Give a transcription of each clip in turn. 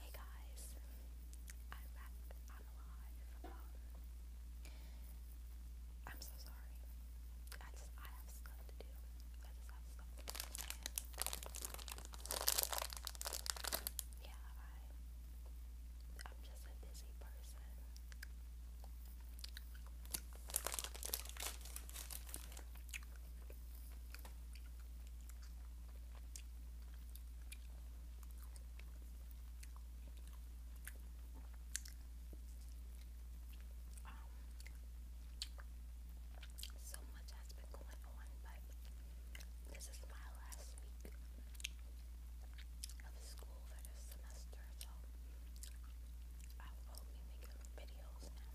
Hey guys, I'm back. I'm alive. Um, I'm so sorry. I just I have stuff to do. I just have stuff to do. And yeah, I I'm just a busy person. So much has been going on, but this is my last week of school for this semester, so I will be making videos now.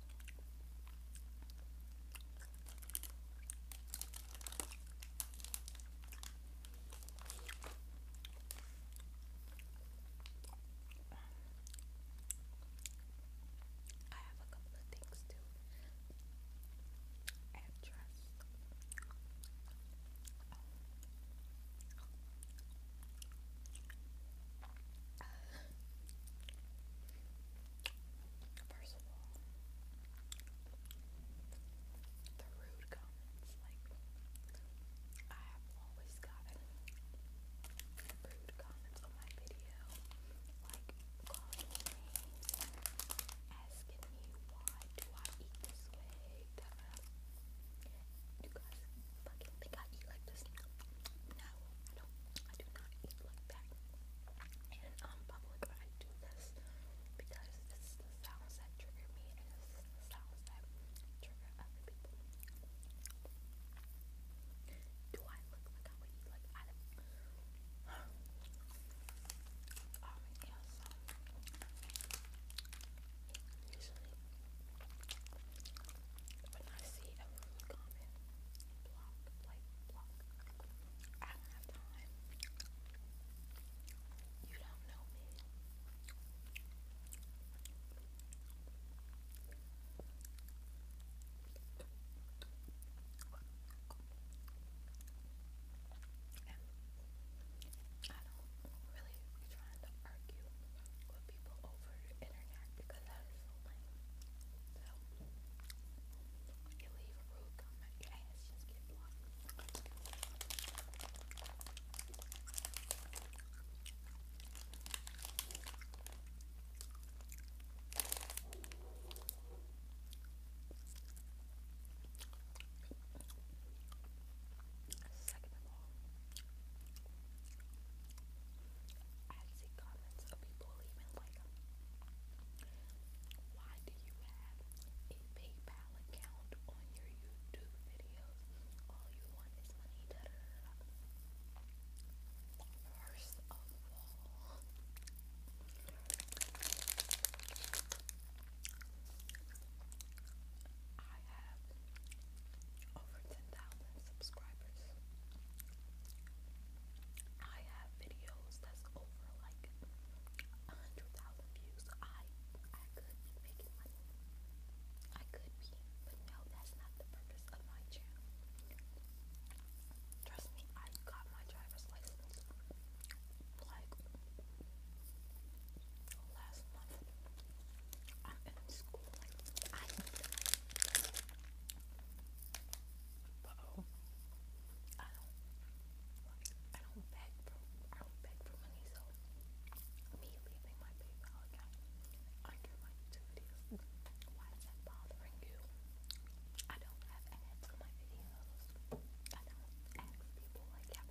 I have a couple of things to address. First of all, the rude comments, like, I have always gotten rude comments on my video, like, calling me names, asking me why do I eat this way, you guys fucking think I eat like this? No, no, no, I do not eat like that in um, public, I do this because it's the sounds that trigger me and it's sounds that trigger other people. Do I look like I would eat like I don't um, usually when I see a rude comment, block, like, block. I don't have time. You don't know me. I don't really be to argue with people over the internet because that is so lame. So, you leave a road comment, your ass just get blocked. Second of all, I see comments of people leaving like, why do you have a PayPal account on your YouTube videos? All you want is money. First of all, I have over 10,000 subscribers. I have videos that's over like a hundred thousand views. I I could be making money. I could be, but no, that's not the purpose of my channel. Trust me, I got my driver's license like last month. I'm in school. Like I uh I don't I don't beg for I don't beg for money, so me leaving my PayPal account under my duties. Why is that you? I don't have ads on my videos. I don't ask people like yeah.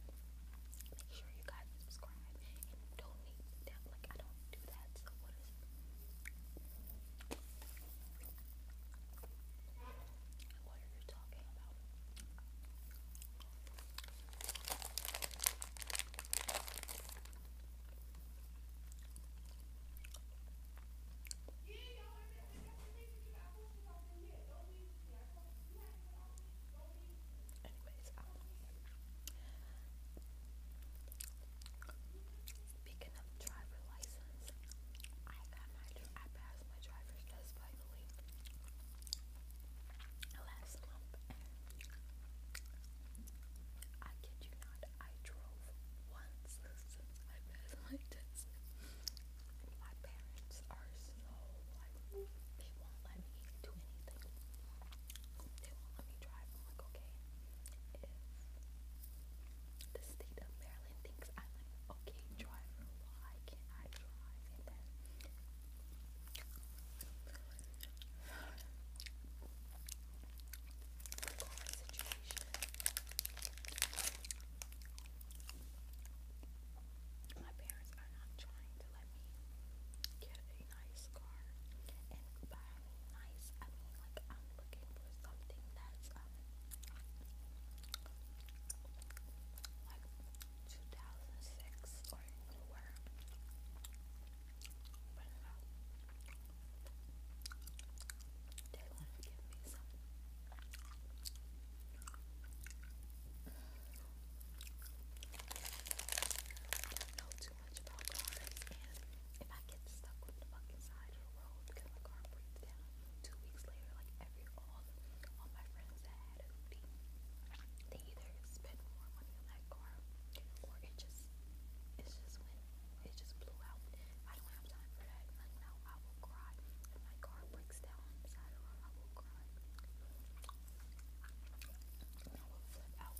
Make sure you guys subscribe and donate like I don't do that, so what is what are you talking about? Anyways, um, Speaking of driver license, I got my I passed my driver's test finally last month. I kid you not, I drove once since I passed my test. My parents are so they won't let me do anything. They won't let me drive. okay, if the state of Maryland thinks I'm an okay driver, why can't I drive? My parents are not trying to let me get a nice car nice. I mean, like, I'm looking for something that's, um, like 2006 or newer. Uh, they want to give me some. No, 2006 so much if I get stuck on the fucking side of the road because my car breaks down, two weeks later, like every all all my friends had they either spent more money on that car, or it just it just went it just blew out. I don't have time for that. Like now, I will cry if my car breaks down on the side of the road. I will cry. I will flip out.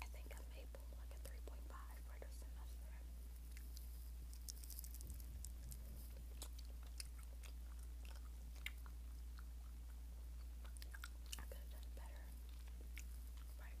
I think I may pull like a 3.5 for the semester. I could have done better. Right.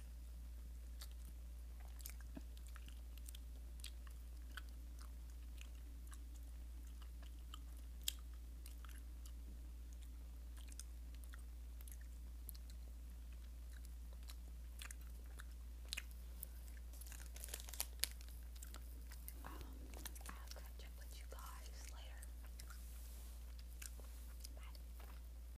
Um, I'll catch up with you guys later. Bye.